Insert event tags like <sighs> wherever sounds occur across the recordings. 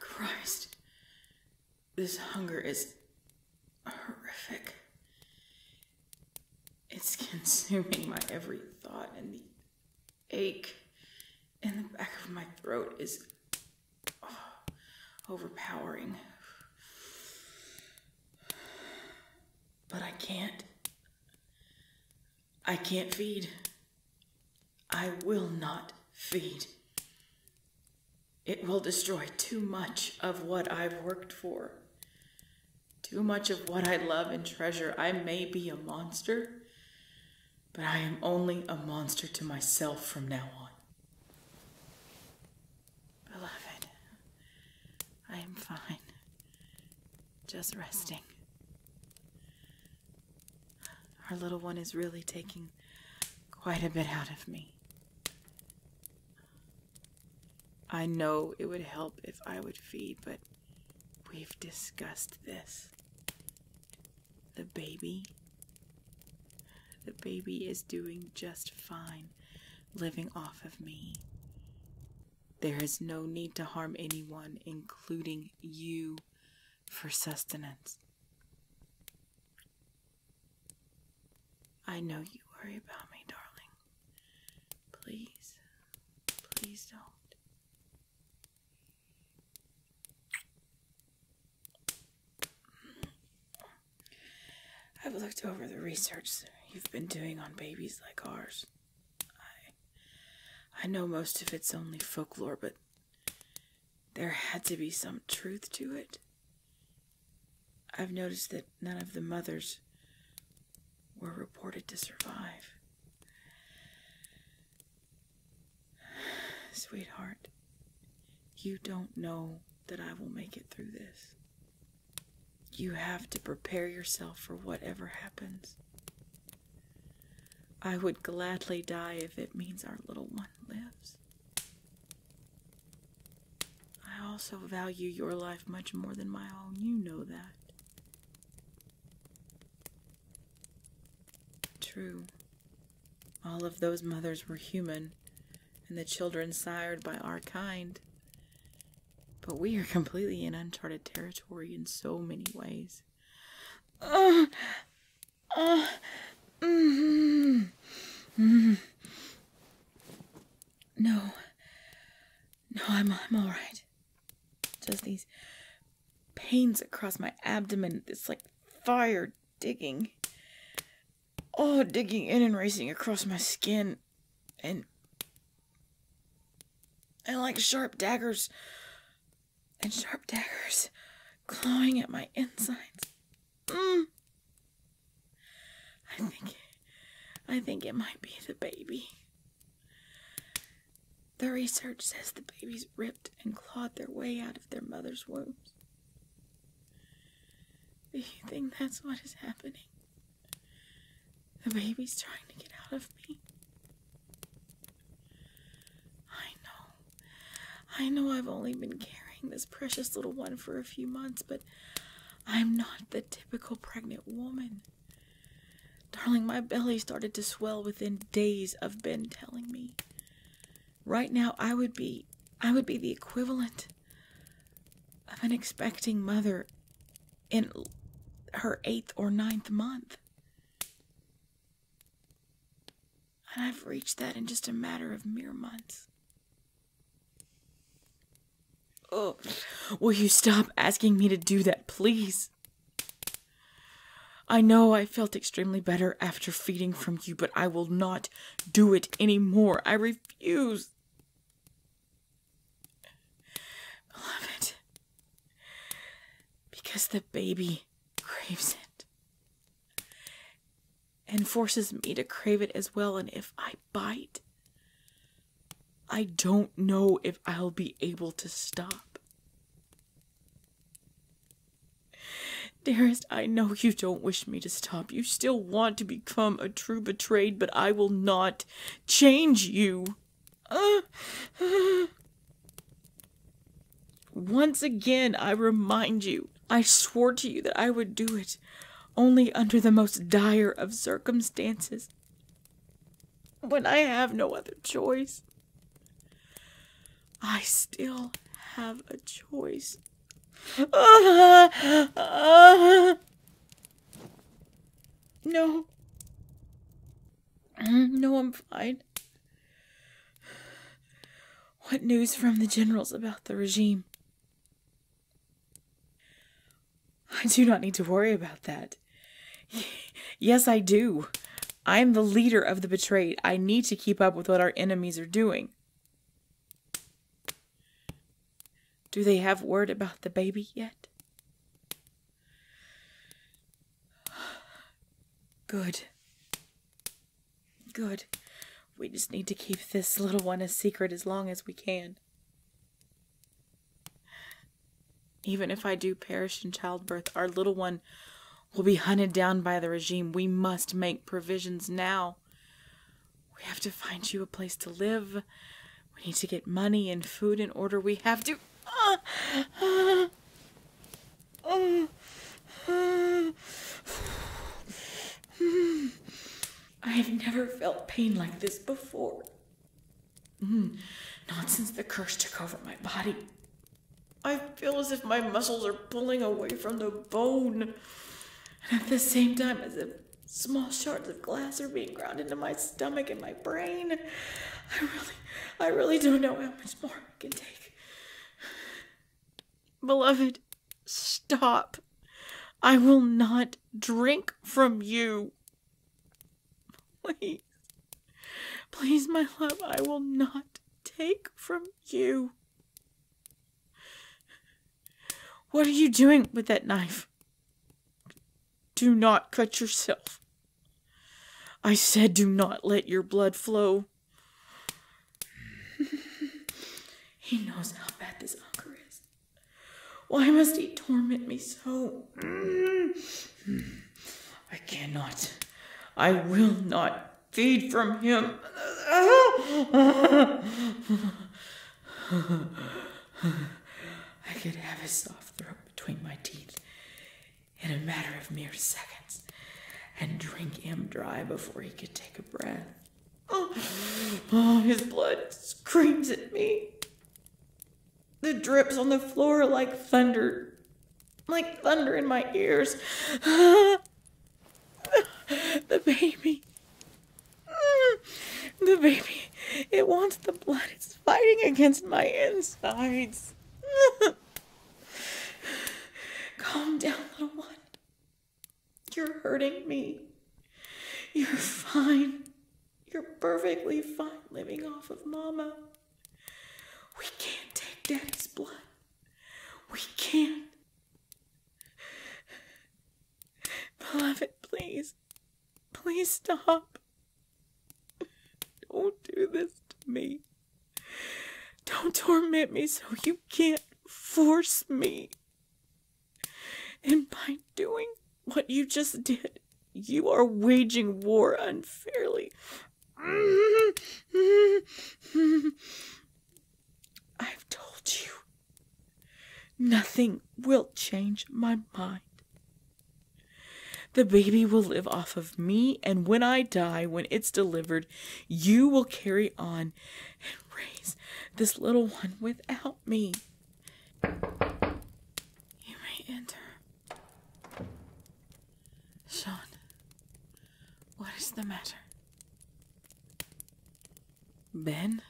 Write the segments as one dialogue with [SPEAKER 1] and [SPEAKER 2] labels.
[SPEAKER 1] Christ. This hunger is horrific. It's consuming my every thought, and the ache in the back of my throat is oh, overpowering. But I can't I can't feed. I will not feed. It will destroy too much of what I've worked for, too much of what I love and treasure. I may be a monster, but I am only a monster to myself from now on. Beloved, I am fine just resting. Our little one is really taking quite a bit out of me. I know it would help if I would feed, but we've discussed this. The baby. The baby is doing just fine living off of me. There is no need to harm anyone, including you, for sustenance. I know you worry about me, darling. Please, please don't. I've looked over the research you've been doing on babies like ours. I I know most of it's only folklore, but there had to be some truth to it. I've noticed that none of the mothers were reported to survive. <sighs> Sweetheart, you don't know that I will make it through this. You have to prepare yourself for whatever happens. I would gladly die if it means our little one lives. I also value your life much more than my own. You know that. True. All of those mothers were human, and the children sired by our kind but we are completely in uncharted territory in so many ways. Uh, uh, mm, mm. No. No, I'm, I'm alright. Just these pains across my abdomen. It's like fire digging. Oh, digging in and racing across my skin and and like sharp daggers and sharp daggers clawing at my insides. Mm. I think I think it might be the baby. The research says the babies ripped and clawed their way out of their mother's wombs. Do you think that's what is happening? The baby's trying to get out of me. I know. I know I've only been carrying this precious little one for a few months, but I'm not the typical pregnant woman. Darling, my belly started to swell within days of Ben telling me. Right now I would be I would be the equivalent of an expecting mother in her eighth or ninth month. And I've reached that in just a matter of mere months. Oh, will you stop asking me to do that, please? I know I felt extremely better after feeding from you, but I will not do it any more. I refuse. Beloved, because the baby craves it and forces me to crave it as well, and if I bite, I don't know if I'll be able to stop. Dearest, I know you don't wish me to stop. You still want to become a true betrayed, but I will not change you. <gasps> Once again, I remind you, I swore to you that I would do it only under the most dire of circumstances, when I have no other choice. I still have a choice. <laughs> Ah, ah, ah. No. Mm, no, I'm fine. What news from the generals about the regime? I do not need to worry about that. <laughs> Yes, I do. I am the leader of the betrayed. I need to keep up with what our enemies are doing. Do they have word about the baby yet? Good. Good. We just need to keep this little one a secret as long as we can. Even if I do perish in childbirth, our little one will be hunted down by the regime. We must make provisions now. We have to find you a place to live, we need to get money and food in order. We have to. Uh, <sighs> uh, uh, uh. I have never felt pain like this before. Mm, not since the curse took over my body. I feel as if my muscles are pulling away from the bone, and at the same time, as if Small shards of glass are being ground into my stomach and my brain. I really, I really don't know how much more I can take. Beloved, stop. I will not drink from you. Please. Please, my love, I will not take from you. What are you doing with that knife? Do not cut yourself. I said, do not let your blood flow. <laughs> he knows how bad this hunger is. Why must he torment me so? I cannot. I will not feed from him. <laughs> <sighs> I could have his soft throat between my teeth in a matter of mere seconds and drink him dry before he could take a breath. Oh, oh his blood screams at me. The drips on the floor like thunder, like thunder in my ears. <sighs> the baby. Mm. The baby, it wants the blood. It's fighting against my insides. <laughs> Calm down, little one. You're hurting me. You're fine. You're perfectly fine living off of Mama. We can't take Daddy's blood. We can't. Beloved, please. Please stop. Don't do this to me. Don't torment me so you can't force me. And by doing what you just did, you are waging war unfairly. <laughs> I've told you Nothing will change my mind. The baby will live off of me, and when I die, when it's delivered, you will carry on and raise this little one without me. You may enter. Sean, what is the matter? Ben,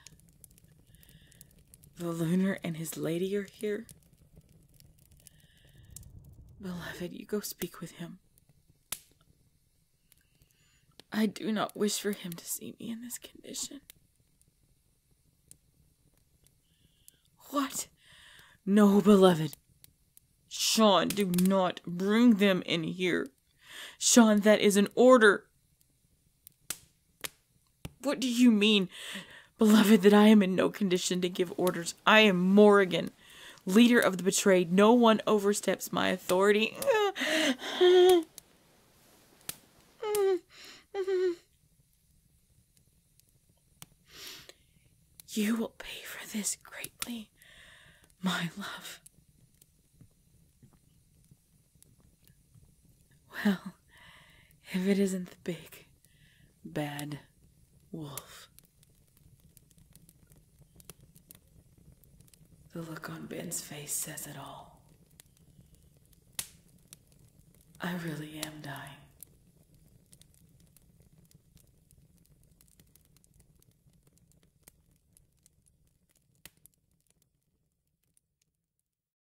[SPEAKER 1] the lunar and his lady are here. Beloved, you go speak with him. I do not wish for him to see me in this condition. What? No, beloved. Sean, do not bring them in here. Sean, that is an order. What do you mean, beloved, that I am in no condition to give orders? I am Morrigan, leader of the betrayed. No one oversteps my authority. You will pay for this greatly, my love. Well, if it isn't the big, bad wolf. The look on Ben's face says it all. I really am dying.